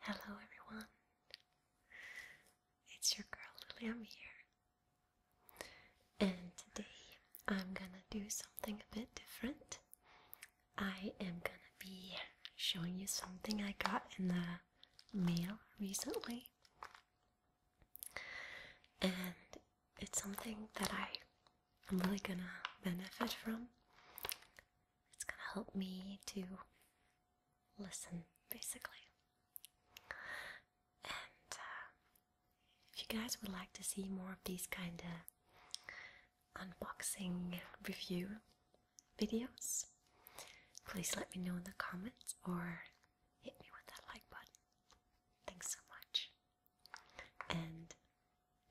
Hello, everyone. It's your girl Lily. I'm here, and today I'm gonna do something a bit different. I am gonna be showing you something I got in the mail recently, and it's something that I am really gonna benefit from. It's going to help me to listen, basically. And uh, if you guys would like to see more of these kind of unboxing review videos, please let me know in the comments or hit me with that like button. Thanks so much. And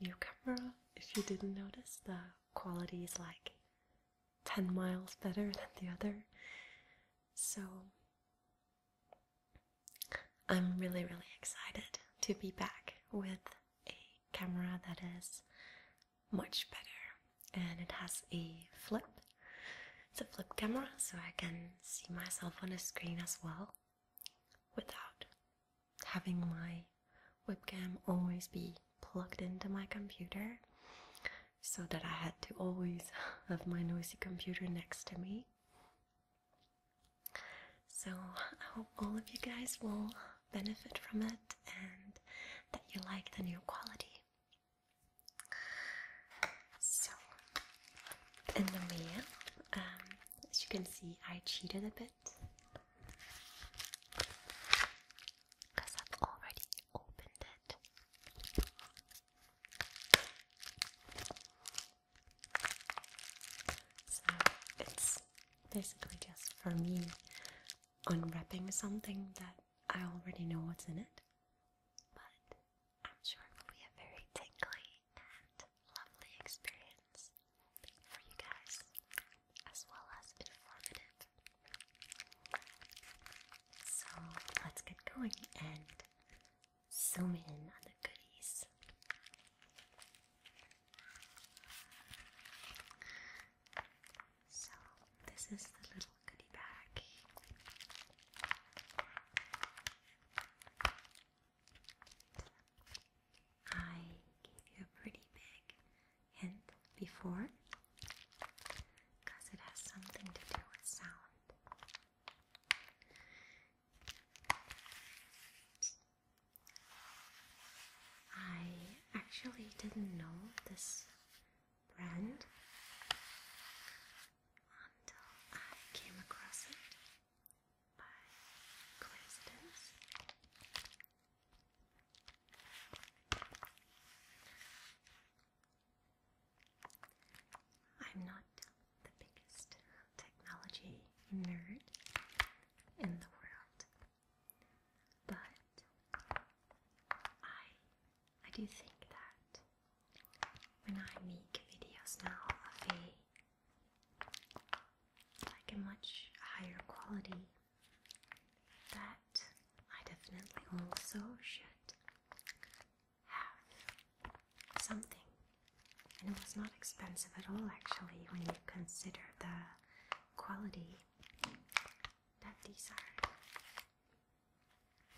New camera, if you didn't notice, the quality is like 10 miles better than the other. So I'm really, really excited to be back with a camera that is much better and it has a flip. It's a flip camera, so I can see myself on a screen as well without having my webcam always be plugged into my computer so that I had to always have my noisy computer next to me. So I hope all of you guys will benefit from it and that you like the new quality. So, in the mail, um, as you can see, I cheated a bit. Because I've already opened it. So it's basically just for me unwrapping something that I already know what's in it. But I'm sure it will be a very tingly and lovely experience for you guys, as well as informative. So let's get going and zoom in on the goodies. So, this is the little goodie bag. I gave you a pretty big hint before because it has something to do with sound. I actually didn't know this brand until I came across it by coincidence. I'm not the biggest technology nerd in the world, but I I do think that when I make videos now of a like a much higher quality that I definitely also should have something. And it was not expensive at all, actually, when you consider the quality that these are.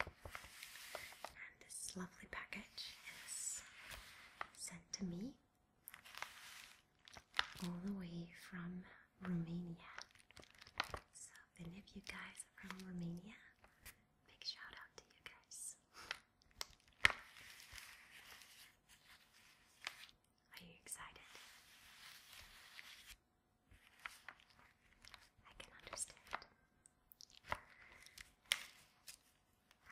And this lovely package is sent to me all the way from Romania. So, any of you guys from Romania, big shout out to you guys. Are you excited? I can understand.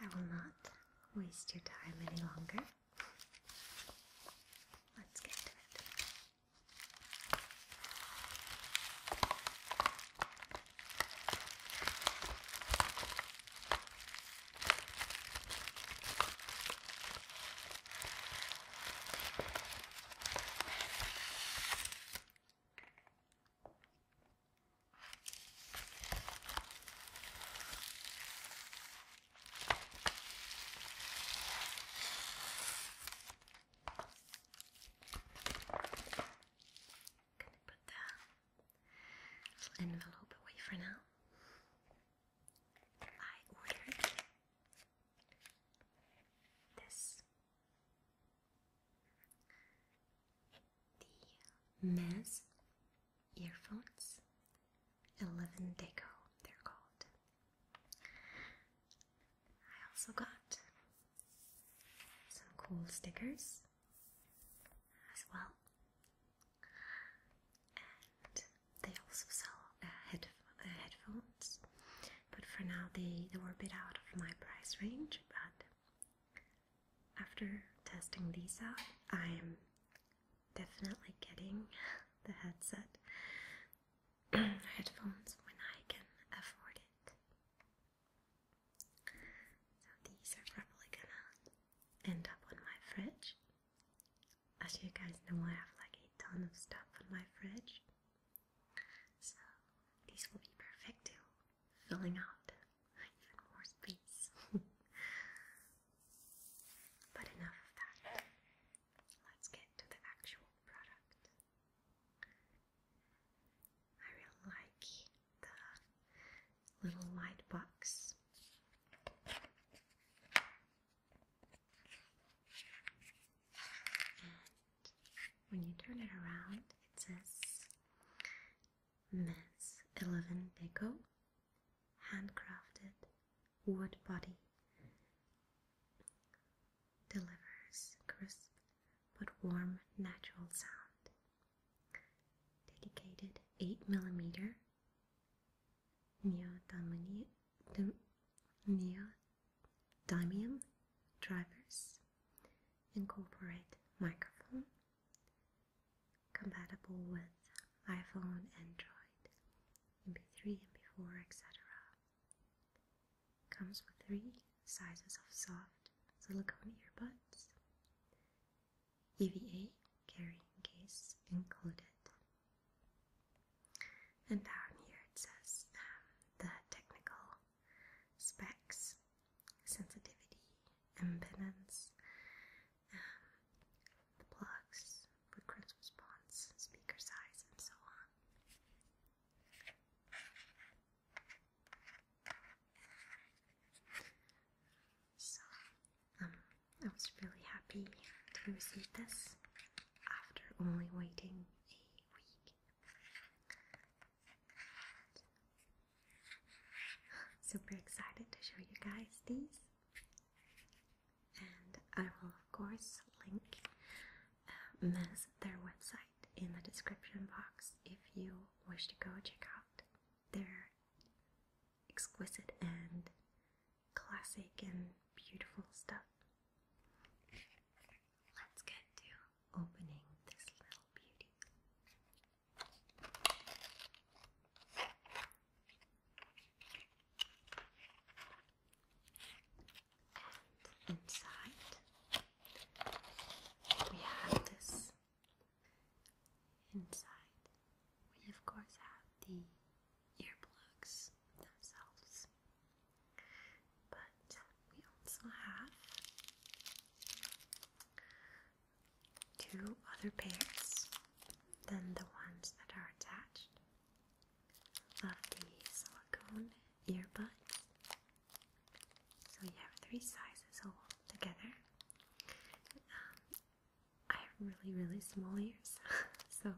I will not waste your time any longer. Let's get to it. Gonna put that little envelope away for now. I ordered this the Mez earphones. Eleven Deco, they're called. I also got some cool stickers as well, and they also sell uh, uh, headphones. But for now, they they were a bit out of my price range. But after testing these out, I'm definitely getting the headset headphones when I can afford it. So these are probably gonna end up on my fridge. As you guys know, I have like a ton of stuff on my fridge. So these will be perfect too, filling out even more space. But enough of that. Let's get to the actual product. I really like the little light box. And when you turn it around, it says Miss Eleven Deco handcrafted wood body delivers crisp but warm natural sound. Dedicated 8mm neodymium drivers, incorporate microphone, compatible with iPhone, Android, MP3, MP4, etc. Comes with three sizes of soft silicone earbuds, EVA carrying case included. And down here it says um, the technical specs, sensitivity, impedance, the plugs for crisp response, speaker size, and so on. So, um, I was really happy to receive this after only waiting a week. Super excited to show you guys these and I will of course link uh, their website in the description box if you wish to go check out their exquisite and classic and beautiful stuff. Let's get to opening this little beauty inside we have this. Inside we of course have the earplugs themselves. But we also have two other pairs than the ones that are attached of the silicone earbuds. So you have three sizes all together. Um, I have really, really small ears, so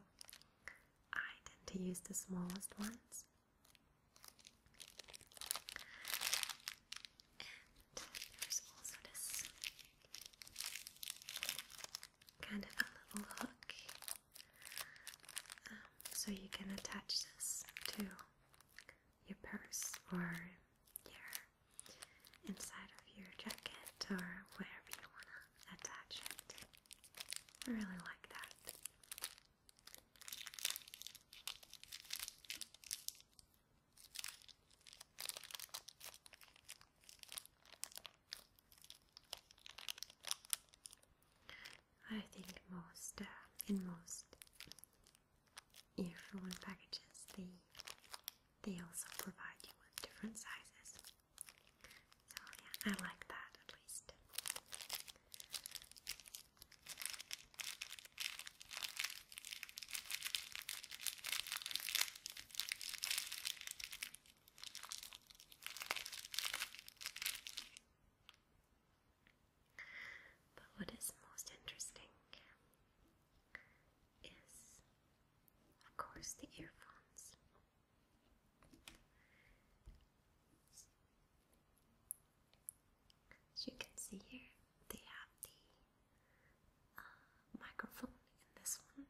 I tend to use the smallest ones. And there's also this kind of a little hook um, so you can attach this to your purse or your inside of your jacket or wherever you want to attach it. I really like that. I think most uh, in most earphone packages they they also provide you with different sizes. So yeah, I like that at least. But what is most interesting is, of course, the earphones. As you can see here, they have the microphone in this one,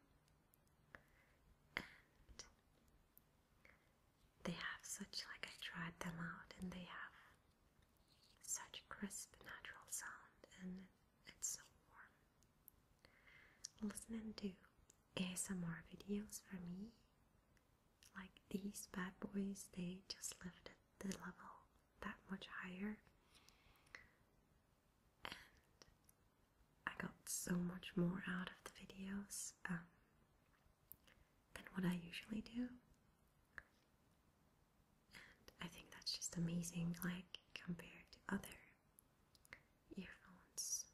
and they have such like I tried them out, and they have such crisp natural sound, and it's so warm. Listening to ASMR videos for me, like these bad boys, they just lifted the level that much higher. I got so much more out of the videos um, than what I usually do. And I think that's just amazing, like compared to other earphones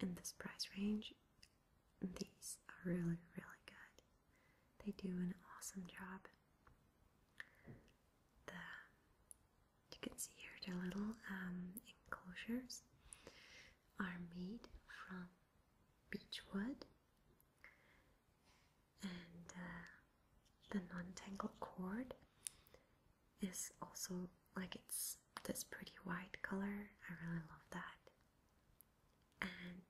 in this price range. These are really, really good. They do an awesome job. The you can see here the little um, enclosures are made from beech wood and uh, the non tangle cord is also like it's this pretty white color. I really love that. And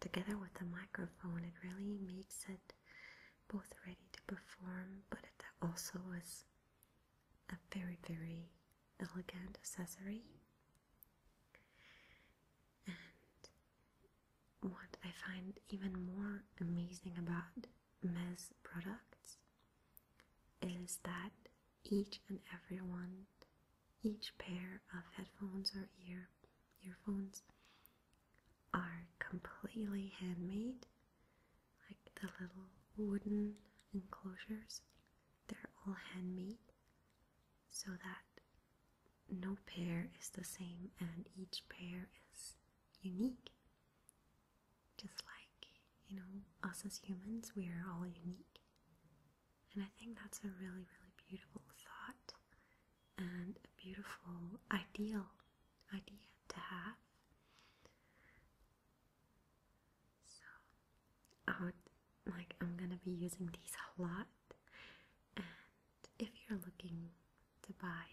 together with the microphone, it really makes it both ready to perform, but it also was a very, very elegant accessory. And what I find even more amazing about Mez products is that each and every one, each pair of headphones or ear earphones are completely handmade, like the little wooden enclosures, they're all handmade so that no pair is the same and each pair is unique. Just like, you know, us as humans, we are all unique. And I think that's a really, really beautiful thought and a beautiful ideal idea to have. So I would like I'm gonna be using these a lot and if you're looking to buy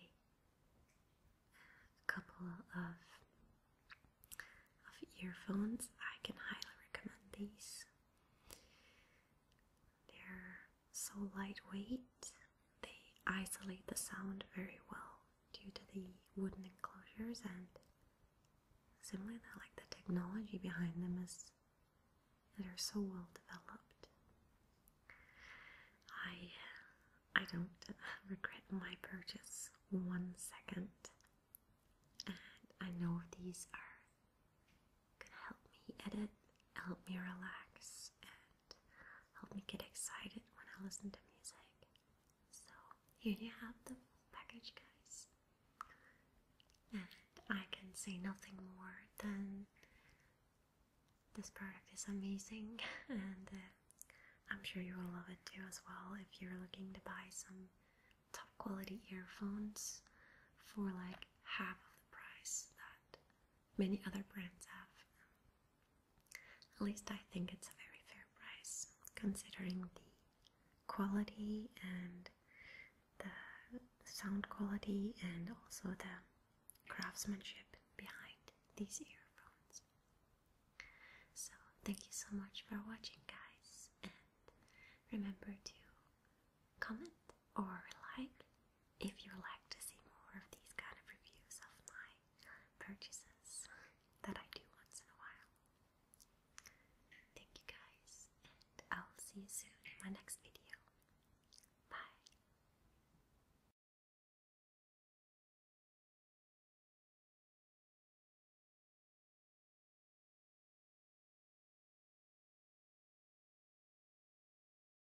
a couple of of earphones I can highly recommend these. They're so lightweight, they isolate the sound very well due to the wooden enclosures and simply that like the technology behind them is they're so well developed. I I don't regret my purchase one second. And I know these are gonna help me edit, help me relax, and help me get excited when I listen to music. So here you have the full package, guys. And I can say nothing more than this product is amazing, and uh, I'm sure you will love it too as well if you're looking to buy some top quality earphones for like half of the price that many other brands have. At least I think it's a very fair price considering the quality and the sound quality and also the craftsmanship behind these earphones. So, thank you so much for watching, guys, and remember to comment or like if you would like to see more of these kind of reviews of my purchases that I do once in a while. Thank you guys, and I'll see you soon in my next video. Bye.